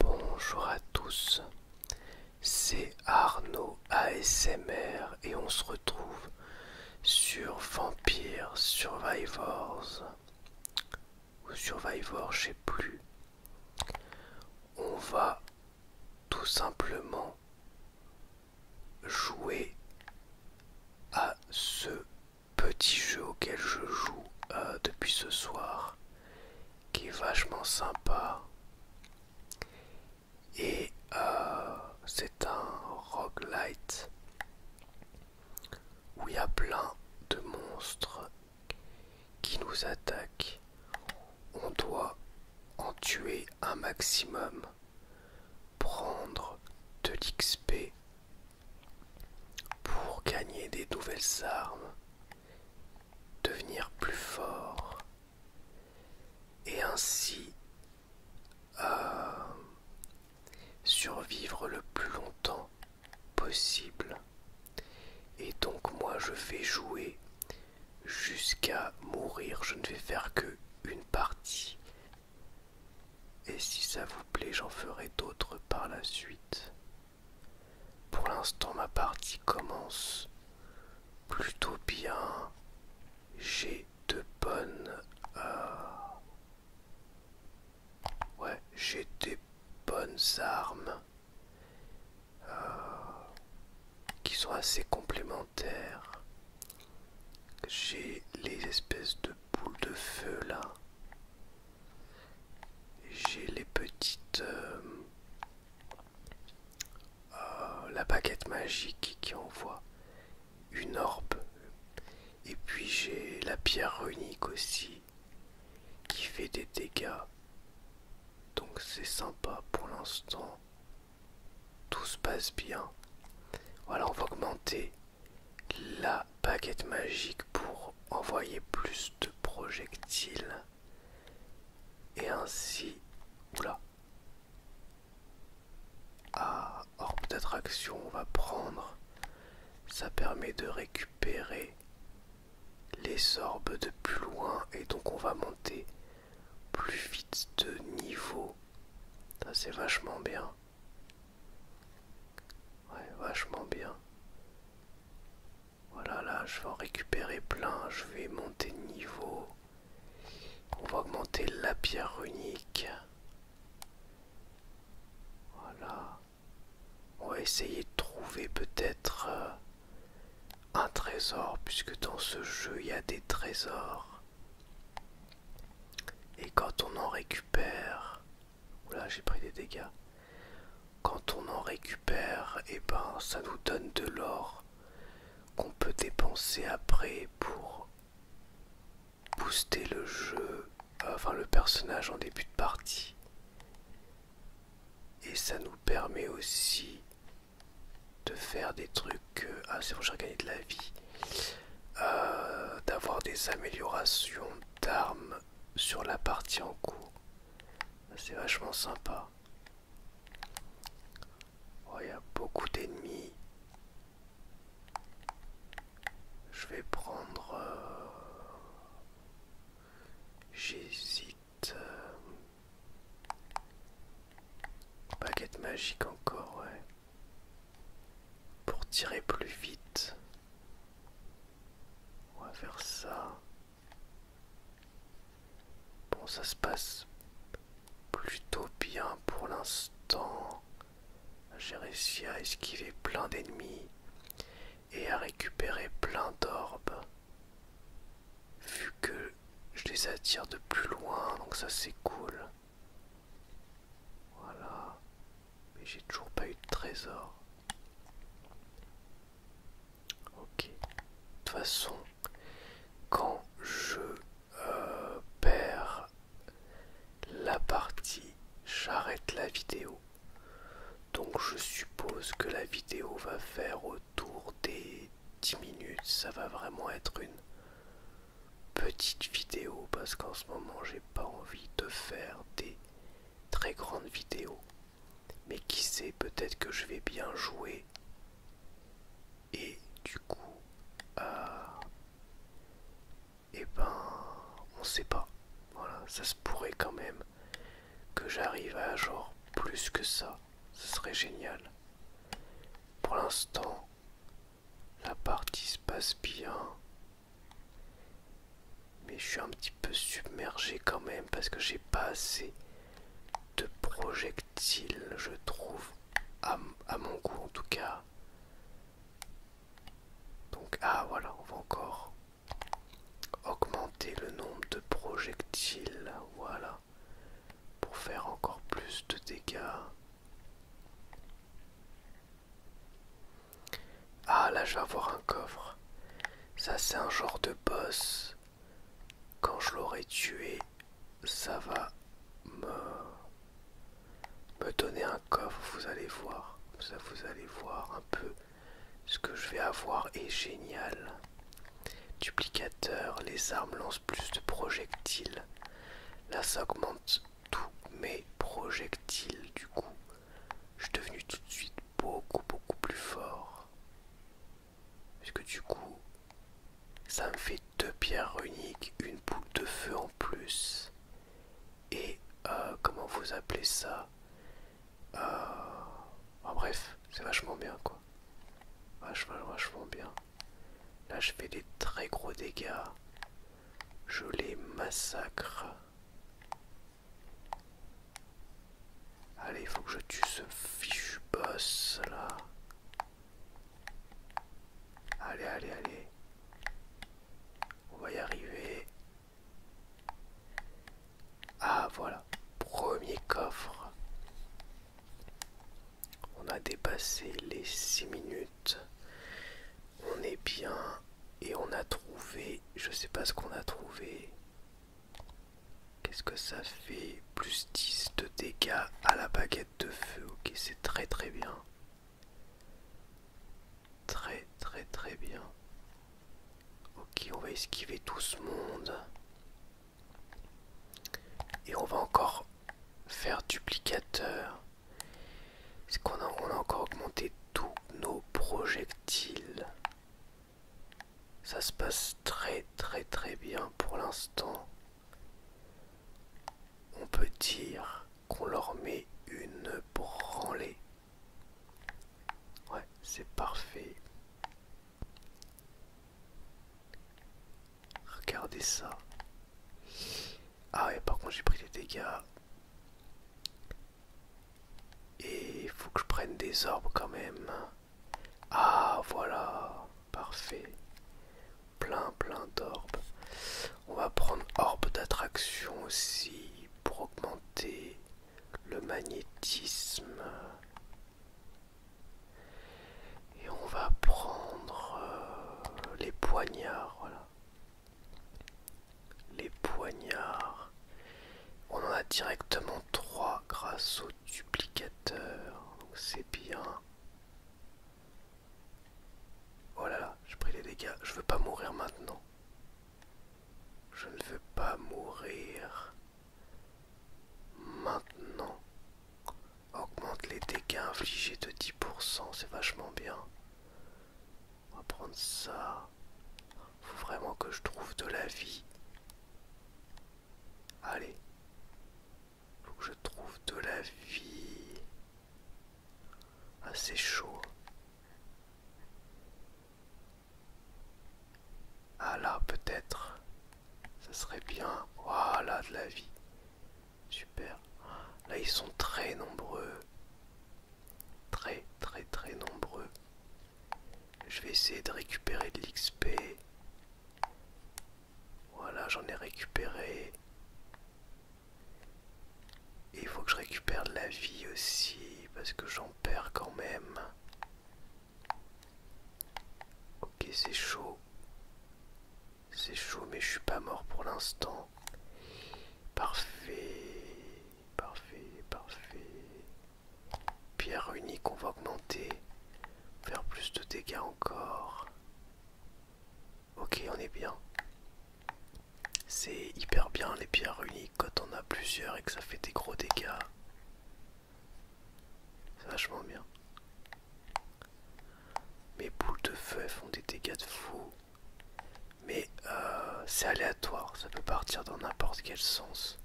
Bonjour à tous, c'est Arnaud ASMR et on se retrouve sur Vampire Survivors ou Survivor, je sais plus. On va tout simplement jouer à ce petit jeu auquel je joue euh, depuis ce soir, qui est vachement sympa. Et euh, c'est un roguelite où il y a plein de monstres qui nous attaque on doit en tuer un maximum, prendre de l'XP pour gagner des nouvelles armes, devenir plus fort et ainsi euh, survivre le plus longtemps possible. Et donc moi je vais jouer jusqu'à mourir. Je ne vais faire que une partie. Et si ça vous plaît, j'en ferai d'autres par la suite. Pour l'instant, ma partie commence plutôt bien. J'ai de bonnes... Euh, ouais, j'ai des bonnes armes. Euh, qui sont assez complémentaires. J'ai les espèces de boules de feu là. J'ai les petites... Euh, euh, la baguette magique qui envoie une orbe. Et puis j'ai la pierre runique aussi qui fait des dégâts. Donc c'est sympa pour l'instant. Tout se passe bien. Voilà, on va augmenter la baguette magique pour envoyer plus de projectiles. Et ainsi... Oula. Ah, orbe d'attraction, on va prendre. Ça permet de récupérer les orbes de plus loin et donc on va monter plus vite de niveau. Ça c'est vachement bien. Ouais, vachement bien. Voilà, là, je vais en récupérer plein. Je vais monter de niveau. On va augmenter la pierre unique. Voilà. On va essayer de trouver peut-être euh, un trésor, puisque dans ce jeu il y a des trésors. Et quand on en récupère... Oula, j'ai pris des dégâts. Quand on en récupère, et eh ben ça nous donne de l'or qu'on peut dépenser après pour booster le jeu, euh, enfin le personnage en début de partie et ça nous permet aussi de faire des trucs ah c'est bon j'ai regagné de la vie euh, d'avoir des améliorations d'armes sur la partie en cours c'est vachement sympa oh, il y a beaucoup d'ennemis je vais prendre euh, J'hésite. Euh, baguette magique encore, ouais. Pour tirer plus vite. On va faire ça. Bon, ça se passe plutôt bien pour l'instant. J'ai réussi à esquiver plein d'ennemis et à récupérer plein d'orbes. Vu que je les attire de plus loin, donc ça c'est cool. Voilà. Mais j'ai toujours pas eu de trésor. Ok. De toute façon, quand je euh, perds la partie, j'arrête la vidéo. Donc je suppose que la vidéo va faire autour des 10 minutes. Ça va vraiment être une petite vidéo parce qu'en ce moment j'ai pas envie de faire des très grandes vidéos. Mais qui sait, peut-être que je vais bien jouer. Et du coup, euh, eh ben, on sait pas. Voilà, ça se pourrait quand même que j'arrive à genre plus que ça, ce serait génial. Pour l'instant, la partie se passe bien. Mais je suis un petit peu submergé quand même parce que j'ai pas assez de projectiles, je trouve, à, mon goût en tout cas. Donc, ah voilà, on va encore augmenter le nombre de projectiles, voilà, pour faire encore plus de dégâts. Ah là je vais avoir un coffre. Ça c'est un genre de boss. Quand je l'aurai tué, ça va me... me donner un coffre, vous allez voir. Ça vous allez voir un peu ce que je vais avoir est génial. Duplicateur, les armes lancent plus de projectiles. Là ça augmente tous mes projectiles du coup. Je suis devenu tout de suite beaucoup beaucoup plus fort. que du coup, ça me fait deux pierres uniques, une boule de feu en plus. Et euh, comment vous appelez ça euh, en bref, c'est vachement bien quoi. Vachement, vachement bien. Là, je fais des très gros dégâts. Je les massacre. Allez, il faut que je tue ce fichu boss là. Allez, allez, allez. On va y arriver. Ah voilà, premier coffre. On a dépassé les 6 minutes. On est bien et on a trouvé, je sais pas ce qu'on a trouvé. Qu'est-ce que ça fait Plus 10 de dégâts à la baguette de feu. Ok, c'est très très bien. Très très très bien. Ok, on va esquiver tout ce monde. Et on va encore faire duplicateur. Parce qu'on a encore augmenté tous nos projectiles Ça se passe très très très bien pour l'instant. On peut dire qu'on leur met une branlée. Ouais, c'est parfait. Regardez ça. Ah et par contre j'ai pris les dégâts. Et il faut que je prenne des orbes quand même. Ah voilà, parfait. Plein plein d'orbes. On va prendre orbe d'attraction aussi pour augmenter le magnétisme. Et on va prendre euh, les poignards, voilà. Les poignards. On en a directement trois grâce au duplicateur. c'est bien. Oh là là, j'ai pris les dégâts. Je veux pas mourir maintenant. Je ne veux pas mourir. Maintenant, augmente les dégâts infligés de 10%, c'est vachement bien. On va prendre ça. Faut vraiment que je trouve de la vie. Allez. Faut que je trouve de la vie. Assez chaud. Ah là, peut-être. Ça serait bien. Voilà, de la vie. Super. Là, ils sont très nombreux. Très, très, très nombreux. Je vais essayer de récupérer de l'XP. Voilà, j'en ai récupéré. Et il faut que je récupère de la vie aussi, parce que j'en Père quand même. Ok, c'est chaud. C'est chaud, mais je suis pas mort pour l'instant. Parfait. Parfait, parfait. Pierre unique, on va augmenter. Faire plus de dégâts encore. Ok, on est bien. C'est hyper bien les pierres uniques quand on a plusieurs et que ça fait des gros dégâts, c'est vachement bien. Mes boules de feu font des dégâts de fou, mais euh, c'est aléatoire, ça peut partir dans n'importe quel sens.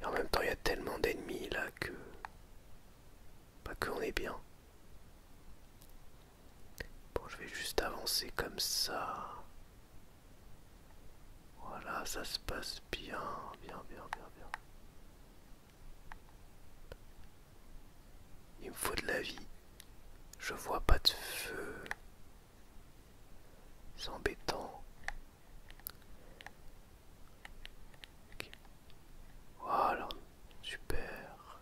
Et en même temps, il y a tellement d'ennemis là que. Pas qu'on est bien. Bon, je vais juste avancer comme ça. Voilà, ça se passe bien, bien, bien, bien, bien. Il me faut de la vie. Je vois pas de feu. C'est embêtant. Voilà, super.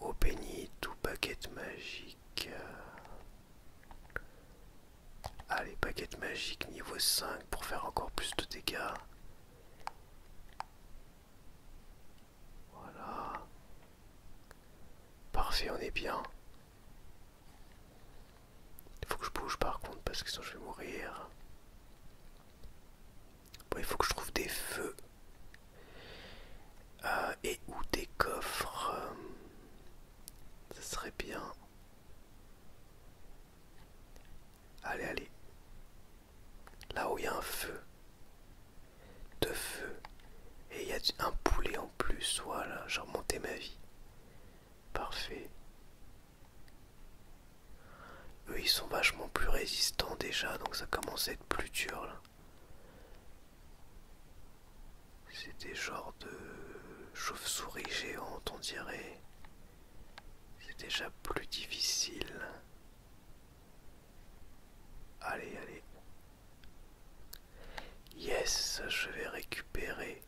Au béni, tout baguette magique. Allez, ah, baguette magique niveau 5 pour faire encore plus de dégâts. Voilà. Parfait, on est bien. Il faut que je bouge par contre parce que sinon je vais mourir. Bon, il faut que je trouve des feux. Euh, et ou des coffres. ça euh, serait bien. Allez, allez. Là où il y a un feu. de feu, Et il y a un poulet en plus. Voilà, j'ai remonté ma vie. Parfait. Eux, ils sont vachement plus résistants déjà, donc ça commence à être plus dur là. C'est des genres de chauve souris géantes, on dirait. C'est déjà plus difficile. Allez, allez. Yes, je vais récupérer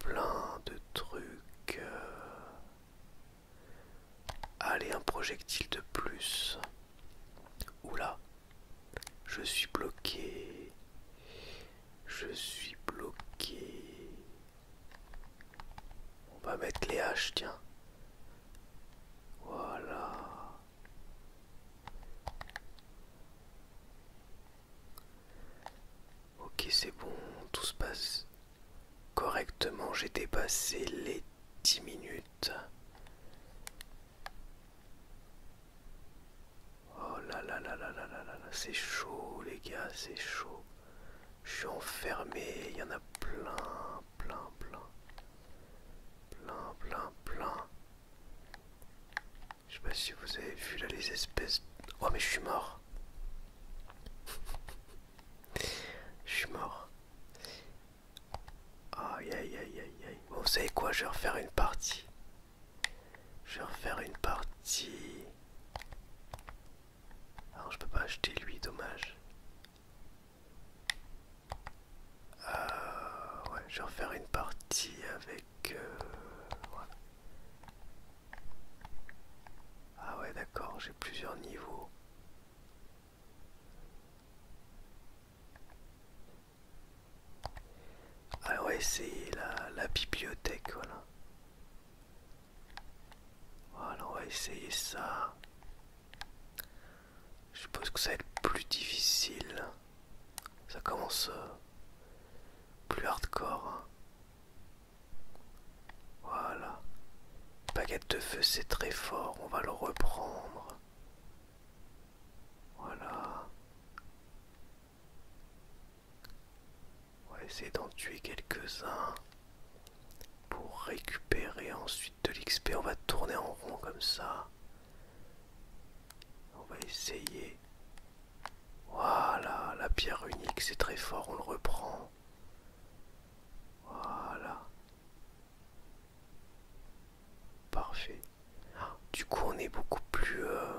plein de trucs. Euh. Allez, un projectile de plus. Oula, je suis bloqué. Je suis bloqué. On va mettre les haches, tiens. Voilà. Ok, c'est bon, tout se passe correctement. J'ai dépassé les dix minutes. Oh là là là là là là là là, c'est chaud les gars, c'est chaud. Je suis enfermé, il y en a plein, plein, plein. Plein, plein, plein. Je sais pas si vous avez vu là les espèces... Oh mais je suis mort. Je suis mort. Aïe aïe aïe aïe aïe. Bon, vous savez quoi, je vais refaire une partie. Je vais refaire une partie. Alors, je peux pas acheter lui, dommage. Euh, ouais, je vais refaire une partie avec. Euh, ah, ouais, d'accord, j'ai plusieurs niveaux on va essayer la, bibliothèque, voilà. on va essayer ça. Je suppose que ça va être plus difficile. Ça commence euh, plus hardcore. Hein. Voilà. Baguette de feu, c'est très fort. On va le reprendre. Voilà. On va essayer d'en tuer quelques-uns pour récupérer ensuite de l'XP. On va tourner en rond comme ça. On va essayer. Voilà, la pierre unique, c'est très fort, on le reprend. Voilà. Parfait. Du coup, on est beaucoup plus. Euh,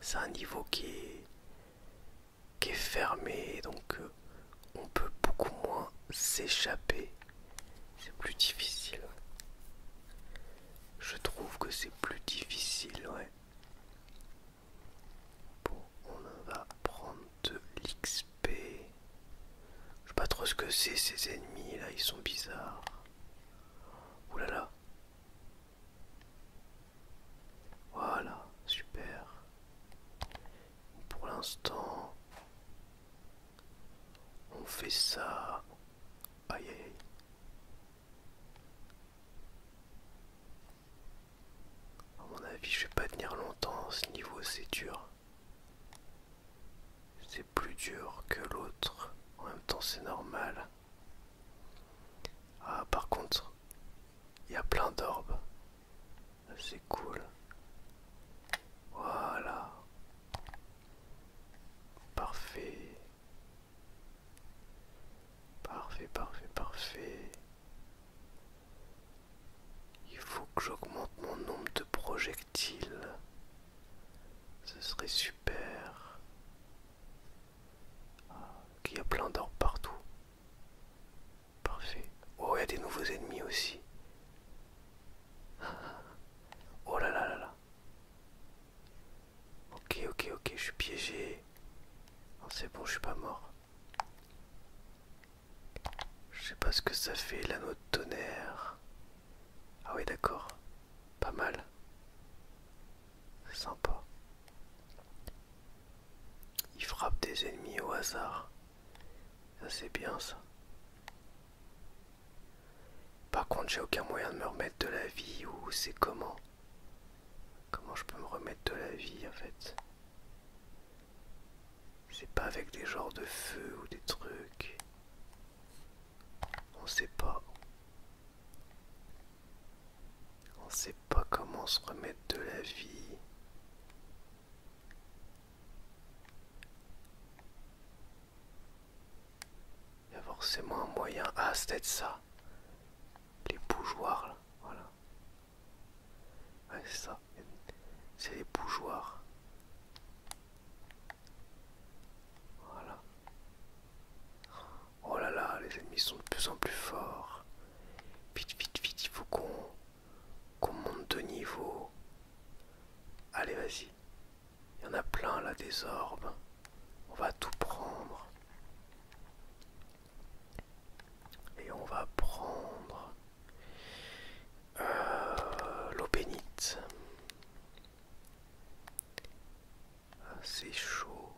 c'est un niveau qui est, fermé, donc euh, on peut beaucoup moins s'échapper. C'est plus difficile. Je trouve que c'est plus difficile, ouais. Bon, on va prendre de l'XP. Je sais pas trop ce que c'est ces ennemis là, ils sont bizarres. Oulala, Voilà, super. Pour l'instant, on fait ça. Aïe À mon avis, je vais pas tenir longtemps. Ce niveau, c'est dur c'est plus dur que l'autre. En même temps, c'est normal. Ah, par contre, il y a plein d'orbes. C'est cool. Voilà. Parfait. Parfait, parfait, parfait. Il faut que j'augmente mon nombre de projectiles. Ce serait super. Ah, qu'il y a plein d'or partout. Parfait. Oh, il y a des nouveaux ennemis aussi. Oh là là là là. Ok, ok, ok, je suis piégé. C'est bon, je suis pas mort. Je sais pas ce que ça fait l'anneau de tonnerre. Ah oui d'accord. Pas mal. Sympa. Il frappe des ennemis au hasard. Ça c'est bien ça. Par contre j'ai aucun moyen de me remettre de la vie ou c'est comment Comment je peux me remettre de la vie en fait C'est pas avec des genres de feu ou des trucs. On sait pas. On sait pas comment se remettre de la vie. Il y a forcément un moyen. à ah, c'était ça. Les bougeoirs, là. Voilà. c'est ça. C'est les bougeoirs. Voilà. Oh là là, les ennemis sont de plus en plus forts. Vite, vite, vite, il faut qu'on monte de niveau. Allez, vas-y. Il y en a plein là des orbes. On va tout prendre. Et on va prendre euh, l'eau bénite. Ah, c'est chaud.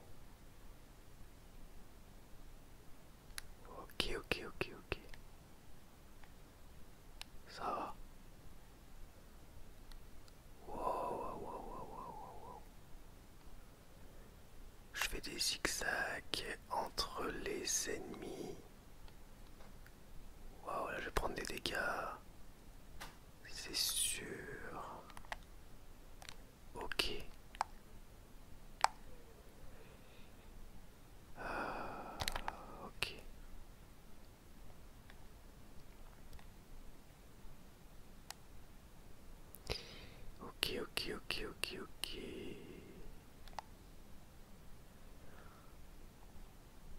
Ok, ok, ok, ok. Ça va. wow, Je fais des zigzags entre les ennemis. Waouh, là je vais prendre des dégâts. C'est sûr. Ok. Euh, ok. Ok, ok, ok, ok, ok.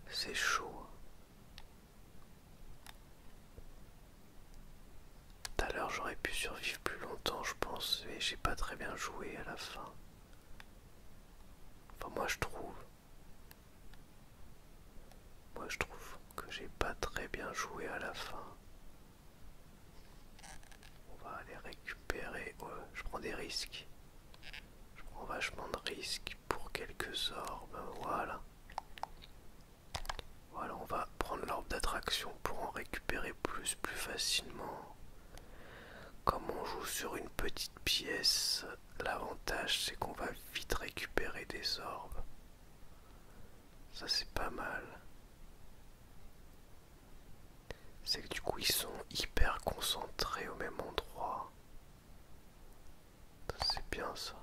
C'est chaud. Hein. Tout à l'heure j'aurais pu survivre plus longtemps je pense et j'ai pas très bien joué à la fin. Enfin moi je trouve. Moi je trouve que j'ai pas très bien joué à la fin. On va aller récupérer. je prends des risques. Je prends vachement de risques pour quelques orbes. Voilà. Voilà, on va prendre l'orbe d'attraction pour en récupérer plus, plus facilement. Comme on joue sur une petite pièce, l'avantage c'est qu'on va vite récupérer des orbes. Ça c'est pas mal. C'est que du coup ils sont hyper concentrés au même endroit. C'est bien ça.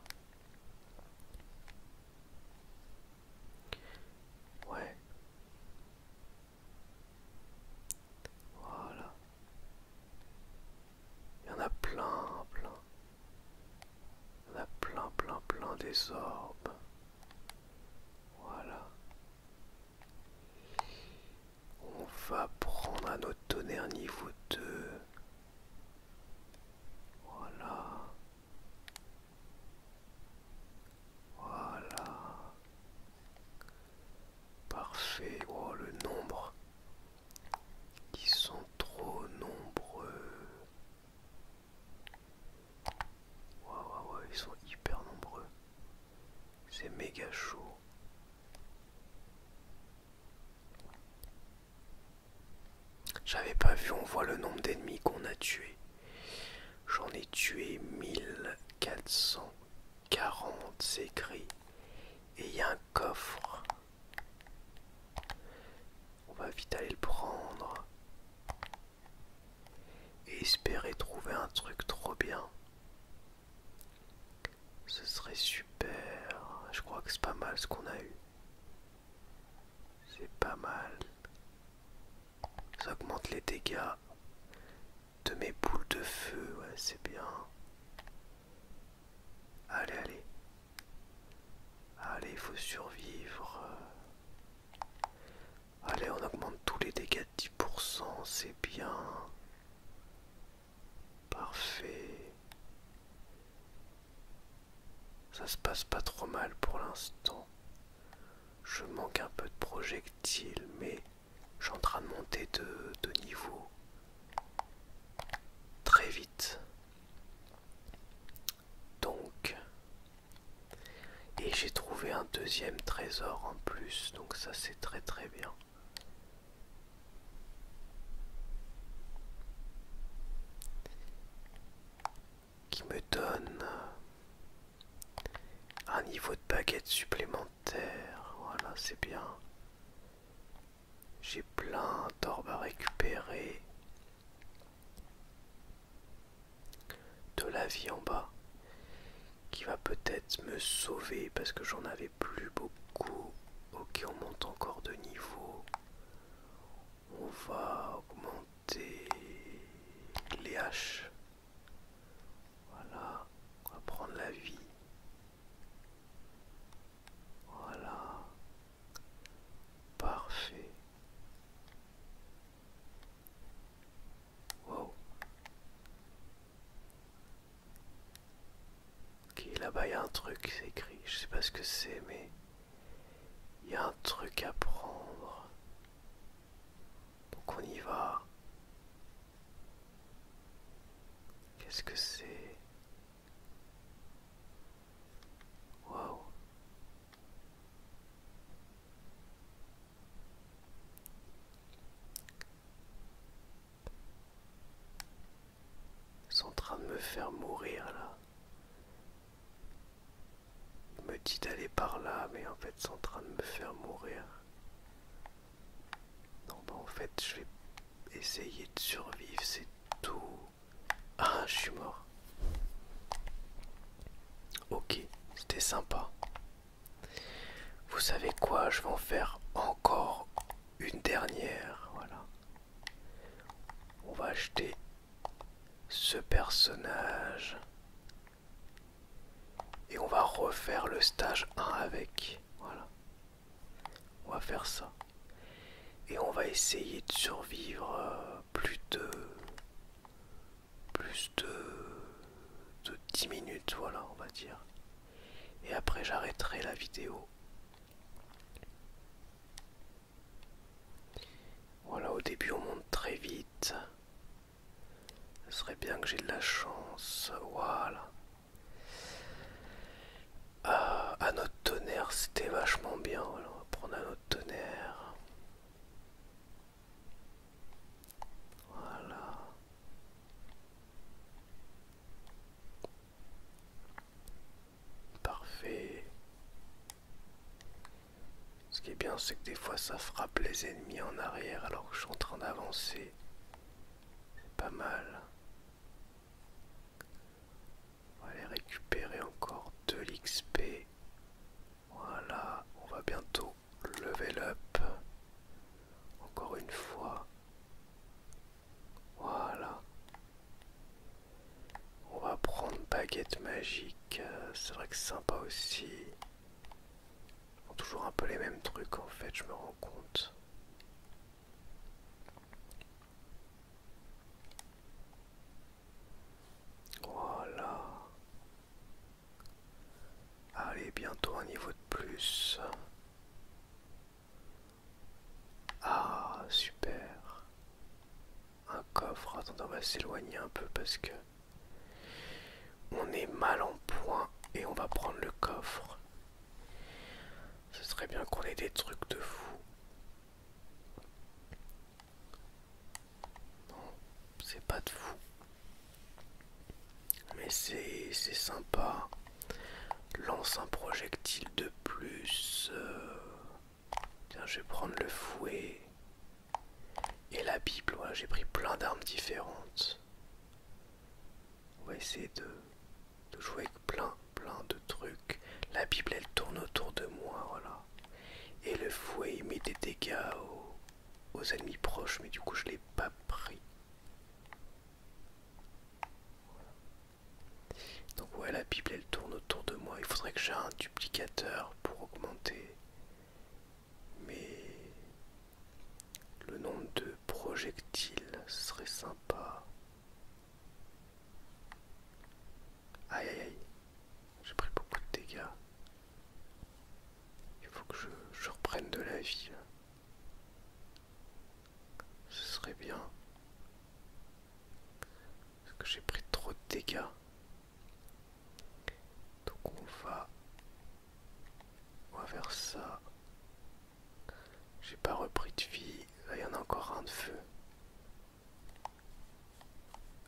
Ouais. Voilà. Il y en a plein, plein. Il y en a plein, plein, plein des orbes. Voilà. On va prendre à notre tonnerre niveau 2. Voilà. Voilà. Parfait. Oh, le nombre. Ils sont trop nombreux. waouh, waouh, ils sont hyper nombreux. C'est méga chaud. J'avais pas vu, on voit le nombre d'ennemis qu'on a tués. J'en ai tué 1440, c'est écrit. Et il y a un coffre. On va vite aller le prendre. Et espérer trouver un truc trop bien. Ce serait super. Je crois que c'est pas mal ce qu'on a eu. C'est pas mal. Ça augmente les dégâts de mes boules de feu. Ouais, c'est bien. Allez, allez. Allez, il faut survivre. Allez, on augmente tous les dégâts de 10%, c'est bien. Parfait. Ça se passe pas trop mal pour l'instant. Je manque un peu de projectiles, mais je suis train de monter de, de niveau très vite. Donc, et j'ai trouvé un deuxième trésor en plus, donc ça c'est très très bien qui me donne un niveau de baguette supplémentaire. Voilà, c'est bien. J'ai plein d'orbes à récupérer. De la vie en bas qui va peut-être me sauver parce que j'en avais plus beaucoup ok, on monte encore de niveau. On va augmenter les haches. Voilà, on va prendre la vie. Voilà, parfait. Wow. Ok, là-bas il y a un truc, qui écrit. Je sais pas ce que c'est, mais il y a un truc à prendre. Donc on y va. Qu'est-ce que c'est Wow ils en train de me faire mourir là. Il me dit d'aller par là, mais en fait c'est en train de me faire mourir. Non bah en fait je vais essayer de survivre, c'est tout. Ah je suis mort. Ok, c'était sympa. Vous savez quoi, je vais en faire encore une dernière. Voilà. On va acheter ce personnage. Et on va refaire le stage 1 avec. Voilà. On va faire ça. Et on va essayer de survivre euh, plus de. plus de. de 10 minutes, voilà, on va dire. Et après, j'arrêterai la vidéo. Voilà, au début on monte très vite. Ce serait bien que j'ai de la chance. Voilà. Un euh, à notre tonnerre, c'était vachement bien. on va prendre un notre tonnerre. Voilà. Parfait. Ce qui est bien, c'est que des fois ça frappe les ennemis en arrière alors que je suis en train d'avancer. C'est pas mal. On va aller récupérer encore de l'XP. Voilà, on va bientôt level up. Encore une fois. Voilà. On va prendre baguette magique. Euh, c'est vrai que c'est sympa aussi. toujours un peu les mêmes trucs en fait, je me rends compte. Voilà. Allez, bientôt un niveau de plus. Ah, super. Un coffre. Attendez, on va s'éloigner un peu parce que on est mal en point et on va prendre le coffre. Ce serait bien qu'on ait des trucs de fou. Non, c'est pas de fou. Mais c'est sympa. Lance un projectile de plus. Euh, tiens, je vais prendre le fouet et la Bible. j'ai pris plein d'armes différentes. On va essayer de, jouer avec plein, plein de trucs. La Bible, elle tourne autour de moi, voilà. Et le fouet, il met des dégâts aux, ennemis proches, mais du coup, je l'ai pas pris. Donc ouais, la Bible, elle tourne autour de moi. Il faudrait que j'ai un duplicateur pour augmenter. Mais le nombre de projectiles serait sympa. Aïe aïe aïe, j'ai pris beaucoup de dégâts. Il faut que je, je reprenne de la vie. Ce serait bien. Parce que j'ai pris trop de dégâts. Donc on va... On va faire ça. J'ai pas repris de vie. Là il y en a encore un de feu.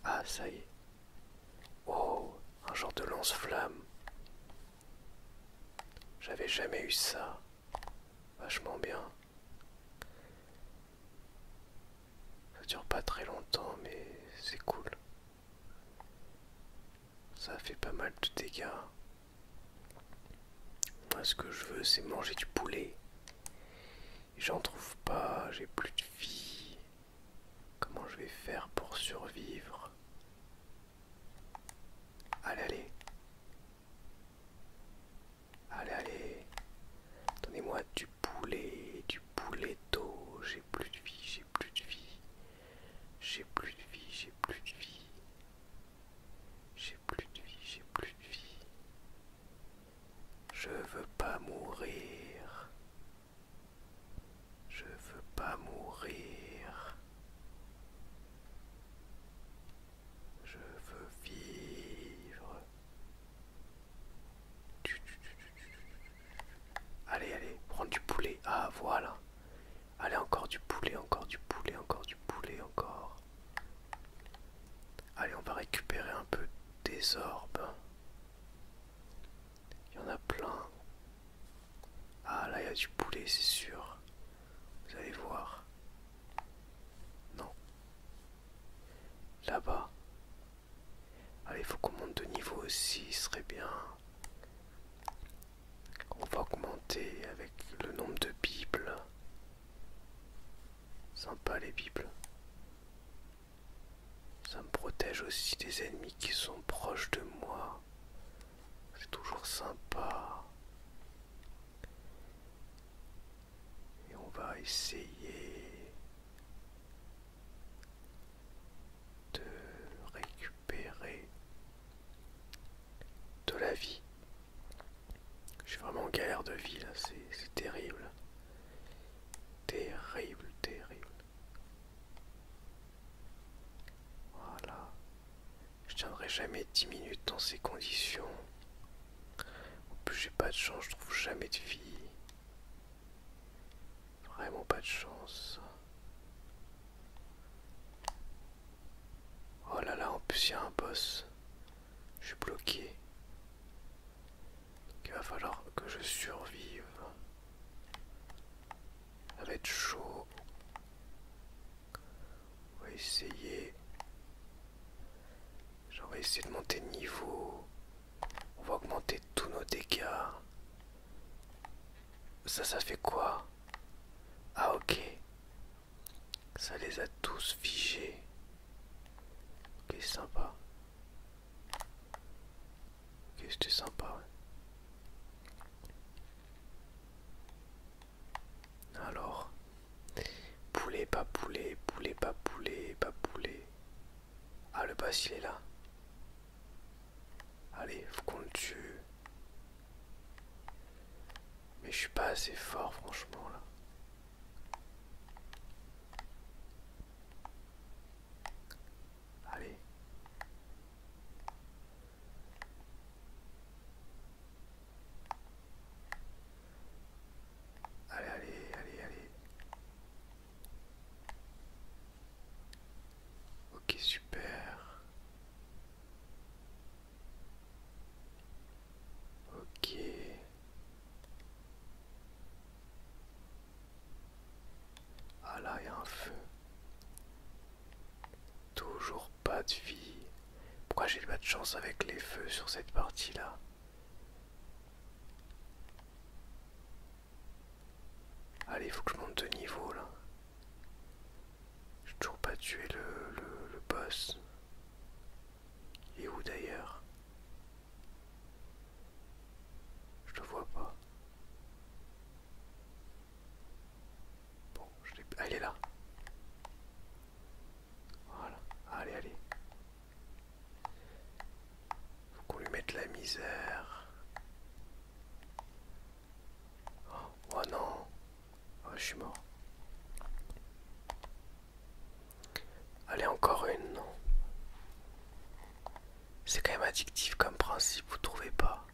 Ah ça y est. Oh, un genre de lance-flamme. J'avais jamais eu ça. Vachement bien. Ça dure pas très longtemps, mais c'est cool. Ça fait pas mal de dégâts. Moi, ce que je veux, c'est manger du poulet. J'en trouve pas, j'ai plus de vie. Comment je vais faire pour survivre Allez, allez. Allez, allez. Donnez-moi du poulet, du poulet d'eau. J'ai plus de vie, j'ai plus de vie. J'ai plus de vie, j'ai plus de vie. J'ai plus de vie, j'ai plus de vie. Je veux pas mourir. Je veux pas mourir. Je veux vivre. Allez, allez, prends du poulet. Ah, voilà. Allez, encore du poulet, encore du poulet, encore du poulet, encore. Allez, on va récupérer un peu des orbes. Il y en a plein. Ah, là, il y a du poulet, c'est sûr. Vous allez voir. Non. Là-bas. Allez, ah, faut qu'on monte de niveau aussi, ce serait bien. On va augmenter avec le nombre de bibles. Sympa les bibles. Ça me protège aussi des ennemis qui sont proches de moi. C'est toujours sympa. Et on va essayer de récupérer de la vie. Je suis vraiment en galère de vie là, c'est terrible. Terrible, terrible. Voilà. Je tiendrai jamais 10 minutes dans ces conditions. En plus, j'ai pas de chance, je trouve jamais de vie Vraiment pas de chance. Oh là là, en plus, il y a un boss. Je suis bloqué. il va falloir que je survive. Ça va être chaud. On va essayer. Genre, vais essayer de monter de niveau. On va augmenter tous nos dégâts. Ça, ça fait quoi Ah, ok. Ça les a tous figés. Ok, sympa. Ok, c'était sympa. Alors, poulet, pas poulet, poulet, pas poulet, pas poulet. Ah, le bassin est là. Allez, faut qu'on le tue. Mais je suis pas assez fort, franchement, là. Allez. Allez, allez, allez, allez. Ok, super. Ok. Ah là, il y a un feu. Toujours pas de vie. Pourquoi j'ai pas de chance avec les feux sur cette partie-là Allez, il faut que je monte de niveau là. J'ai toujours pas tué le, le, boss. Il est où d'ailleurs Je le vois pas. Bon, je l'ai. Ah, il est là. Voilà, allez, allez. Faut qu'on lui mette la misère. Oh, oh non, oh, je suis mort. Allez, encore une, C'est quand même addictif comme principe, vous trouvez pas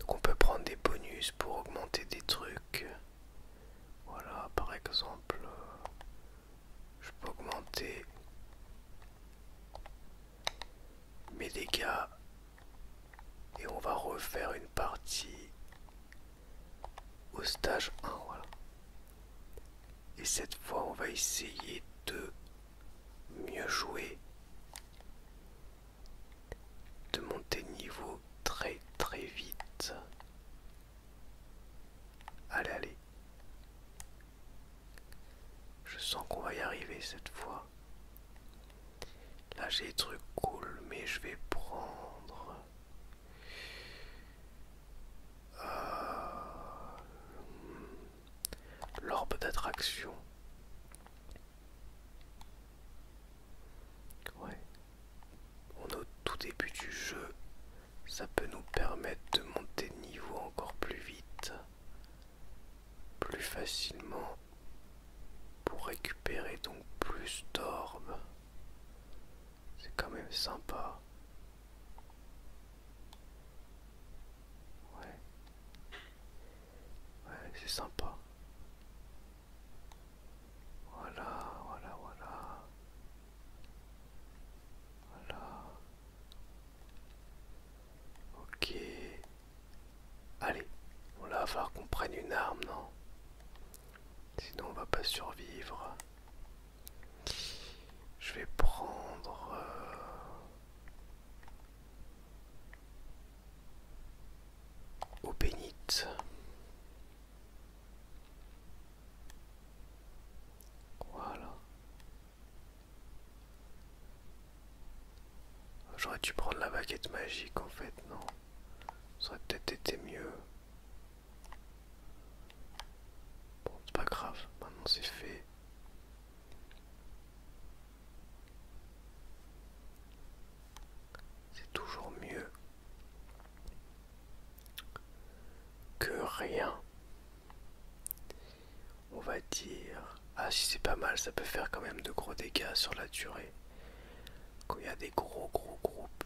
Donc on peut prendre des bonus pour augmenter des trucs. Voilà, par exemple, euh, je peux augmenter mes dégâts et on va refaire une partie au stage 1. Et cette fois, on va essayer de mieux jouer, de monter de niveau très très vite. Allez, allez. Je sens qu'on va y arriver cette fois. Là j'ai des trucs cool, mais je vais prendre... Euh, l'orbe d'attraction. Ouais, on est au tout début du jeu. Ça peut nous permettre de monter de niveau encore plus vite, plus facilement, pour récupérer donc plus d'orbes. C'est quand même sympa. Ouais. Ouais, c'est sympa. Voilà, voilà, voilà. Voilà. Ok. Allez, on va falloir qu'on prenne une arme, non Sinon on va pas survivre. Je vais prendre... Au euh, bénite. Voilà. J'aurais dû prendre la baguette magique en fait, non Ça aurait peut-être été mieux. Bon, c'est pas grave, maintenant c'est fait. C'est toujours mieux que rien. On va dire... Ah si c'est pas mal, ça peut faire quand même de gros dégâts sur la durée. Quand il y a des gros gros groupes,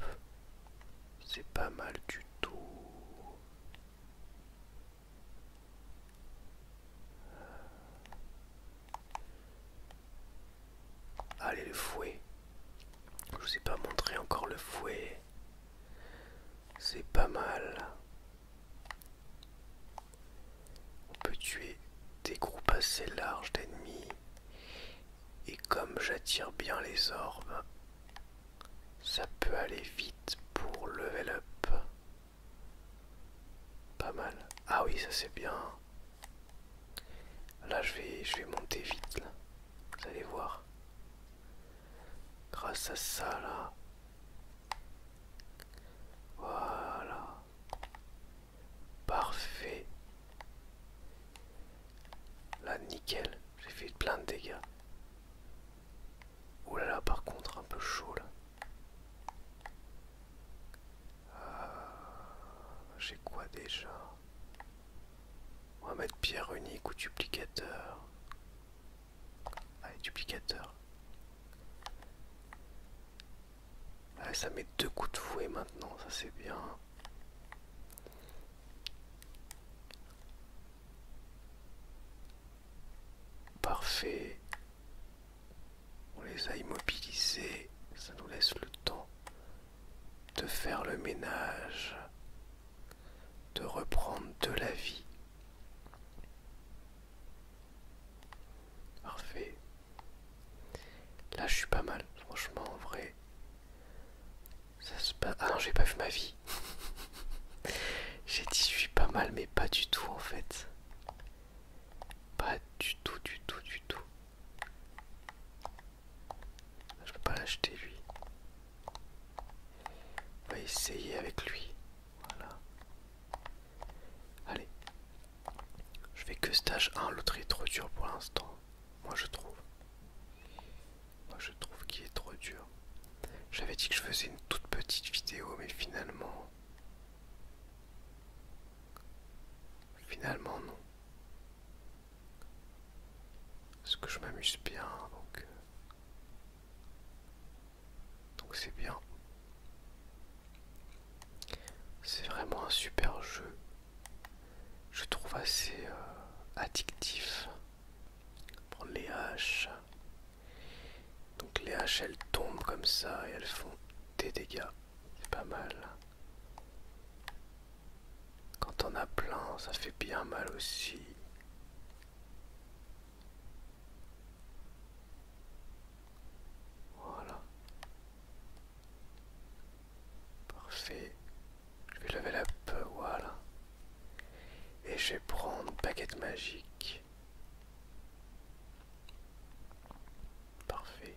c'est pas mal du tout. Allez, le fouet. Je vous ai pas montré encore le fouet. C'est pas mal. On peut tuer des groupes assez larges d'ennemis. Et comme j'attire bien les orbes, ça peut aller vite pour level up. Pas mal. Ah oui, ça c'est bien. Là, je vais, je vais monter vite, Vous allez voir. Grâce à ça, là. Voilà. Parfait. Là, nickel. J'ai fait plein de dégâts. Ouh là là, par contre, un peu chaud, là. Euh, j'ai quoi déjà on va mettre pierre unique ou duplicateur. Allez, duplicateur. Allez, ça met deux coups de fouet maintenant, ça c'est bien. Parfait. On les a immobilisés, ça nous laisse le temps de faire le ménage, de reprendre de la vie. Parfait. Là, je suis pas mal, franchement, en vrai. Ça se passe. Ah non, j'ai pas vu ma vie. j'ai dit, je suis pas mal, mais pas du tout, en fait. Pas du tout, du tout, du tout. Je vais pas l'acheter lui. On va essayer avec lui. Voilà. Allez. Je fais que stage 1, l'autre est trop dur pour l'instant. Moi je trouve. Moi je trouve qu'il est trop dur. J'avais dit que je faisais une toute petite vidéo mais finalement... Finalement non. Parce que je m'amuse bien, donc... Euh, donc c'est bien. C'est vraiment un super jeu. Je trouve assez euh, addictif. Pour les haches. Donc les haches elles tombent comme ça et elles font des dégâts. C'est pas mal. Quand on a plein, ça fait bien mal aussi. Voilà. Parfait. Je vais lever la peau, voilà. Et je vais prendre baguette magique. Parfait.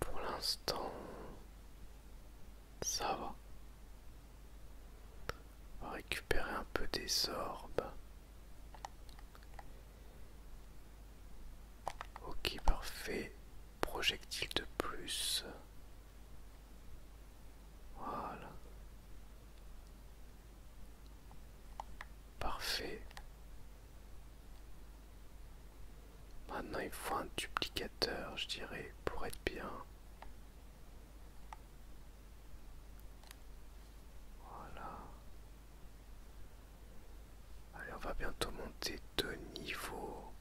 Pour l'instant, ça va. récupérer un peu des orbes. Ok, parfait. Projectile de plus. Voilà. Parfait. Maintenant il faut un duplicateur, je dirais, pour être bien. Voilà. Allez, on va bientôt monter de niveau,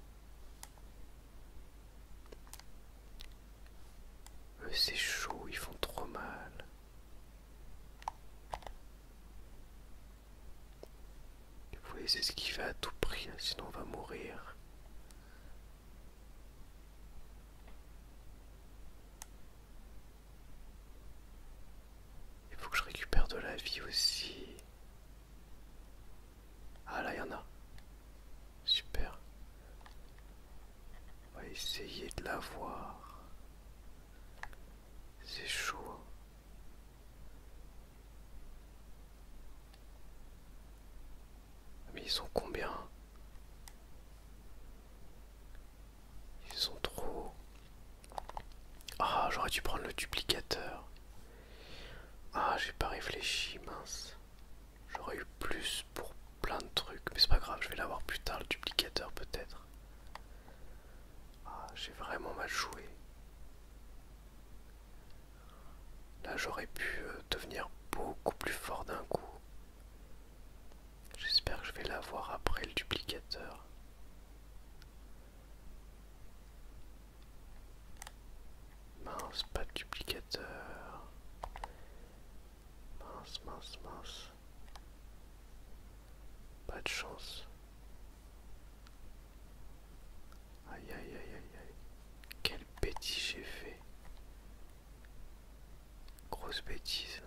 c'est chaud, ils font trop mal. Il faut les esquiver à tout prix, hein, sinon on va mourir. Il faut que je récupère de la vie aussi. Ah là, il y en a. Super. On va essayer de la voir. C'est chaud. Hein. Ah, mais ils sont combien Ils sont trop... Ah, j'aurais dû prendre le duplicateur. Ah, j'ai pas réfléchi, mince. J'aurais eu plus pour plein de trucs, mais c'est pas grave, je vais l'avoir plus tard, le duplicateur peut-être. Ah, j'ai vraiment mal joué. Là j'aurais pu euh, devenir beaucoup plus fort d'un coup. J'espère que je vais l'avoir après le duplicateur. Mince, pas de duplicateur. Mince, mince, mince. Pas de chance. Aïe aïe aïe aïe aïe. Quelle bêtise j'ai fait. Grosse bêtise.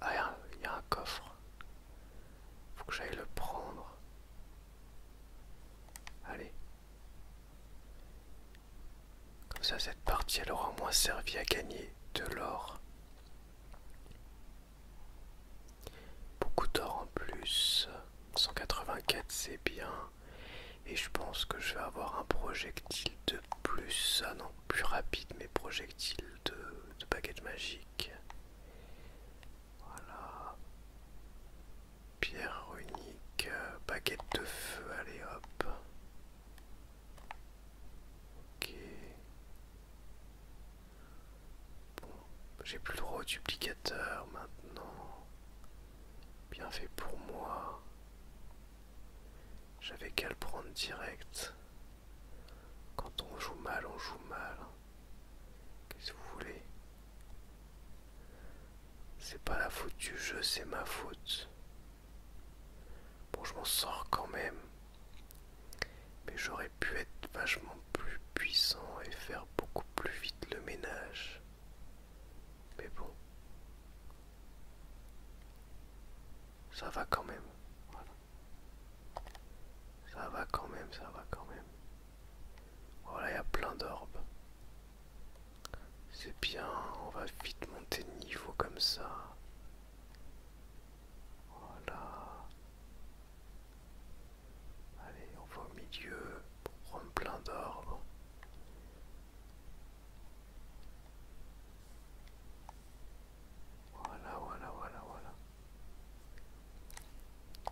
Ah, il y, a un coffre. Faut que j'aille le prendre. Allez. Comme ça, cette partie, elle aura moins servi à gagner de l'or Beaucoup d'or en plus. 184 c'est bien. Et je pense que je vais avoir un projectile de plus. Ah non, plus rapide, mais projectile de, de baguette magique. Voilà. Pierre unique, euh, baguette de feu, allez hop. Ok. Bon, j'ai plus le droit duplicateur maintenant. Bien fait pour moi. J'avais qu'à le prendre direct. Quand on joue mal, on joue mal. Qu'est-ce que vous voulez C'est pas la faute du jeu, c'est ma faute. Bon, je m'en sors quand même. Mais j'aurais pu être vachement plus puissant et faire beaucoup plus vite le ménage. Mais bon. Ça va quand même. Voilà. Ça va quand même, ça va quand même. Voilà, il y a plein d'orbes. C'est bien, on va vite monter de niveau comme ça. Voilà. Allez, on va au milieu pour prendre plein d'or. Voilà, voilà, voilà, voilà.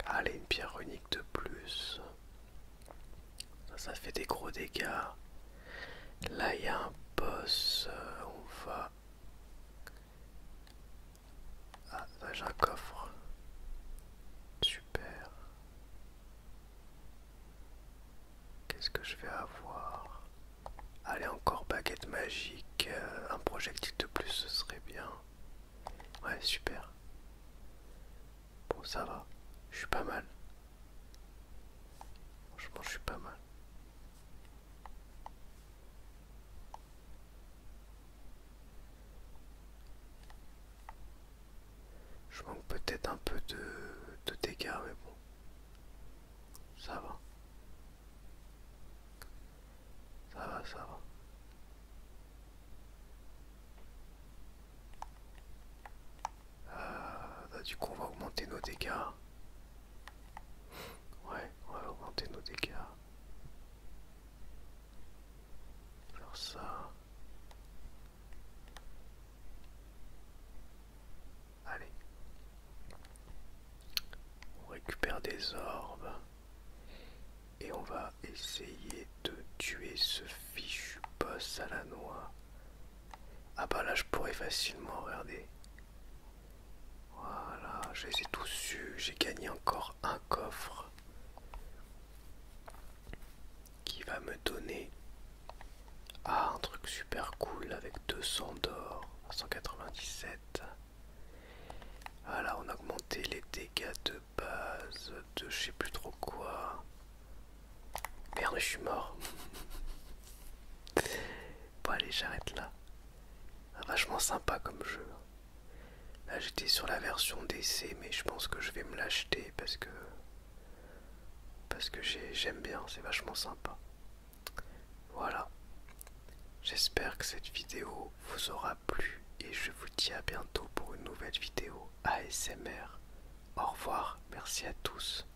Allez, une pierre unique de plus. Ça, ça fait des gros dégâts. Là, il y a un boss. Euh, on va ah, là bah, j'ai un coffre. Super. Qu'est-ce que je vais avoir Allez, encore baguette magique. Euh, un projectile de plus, ce serait bien. Ouais, super. Bon, ça va. Je suis pas mal. Franchement, je suis pas mal. Je manque peut-être un peu de, dégâts, mais bon, ça va. Ça va, ça va. Euh, bah, du coup, on va augmenter nos dégâts. Ouais, on va augmenter nos dégâts. Alors ça. Allez. On récupère des orbes. Et on va essayer de tuer ce fichu boss à la noix. Ah bah là je pourrais facilement, regarder. Voilà, je les ai tous J'ai gagné encore un coffre qui va me donner ah, un truc super cool avec 200 d'or, 197. Voilà, on a augmenté les dégâts de base de je sais plus trop quoi. Merde, je suis mort. Bon allez j'arrête là. Vachement sympa comme jeu. Hein. Là j'étais sur la version DC mais je pense que je vais me l'acheter parce que parce que j'aime bien, c'est vachement sympa. Voilà. J'espère que cette vidéo vous aura plu et je vous dis à bientôt pour une nouvelle vidéo ASMR. Au revoir, merci à tous.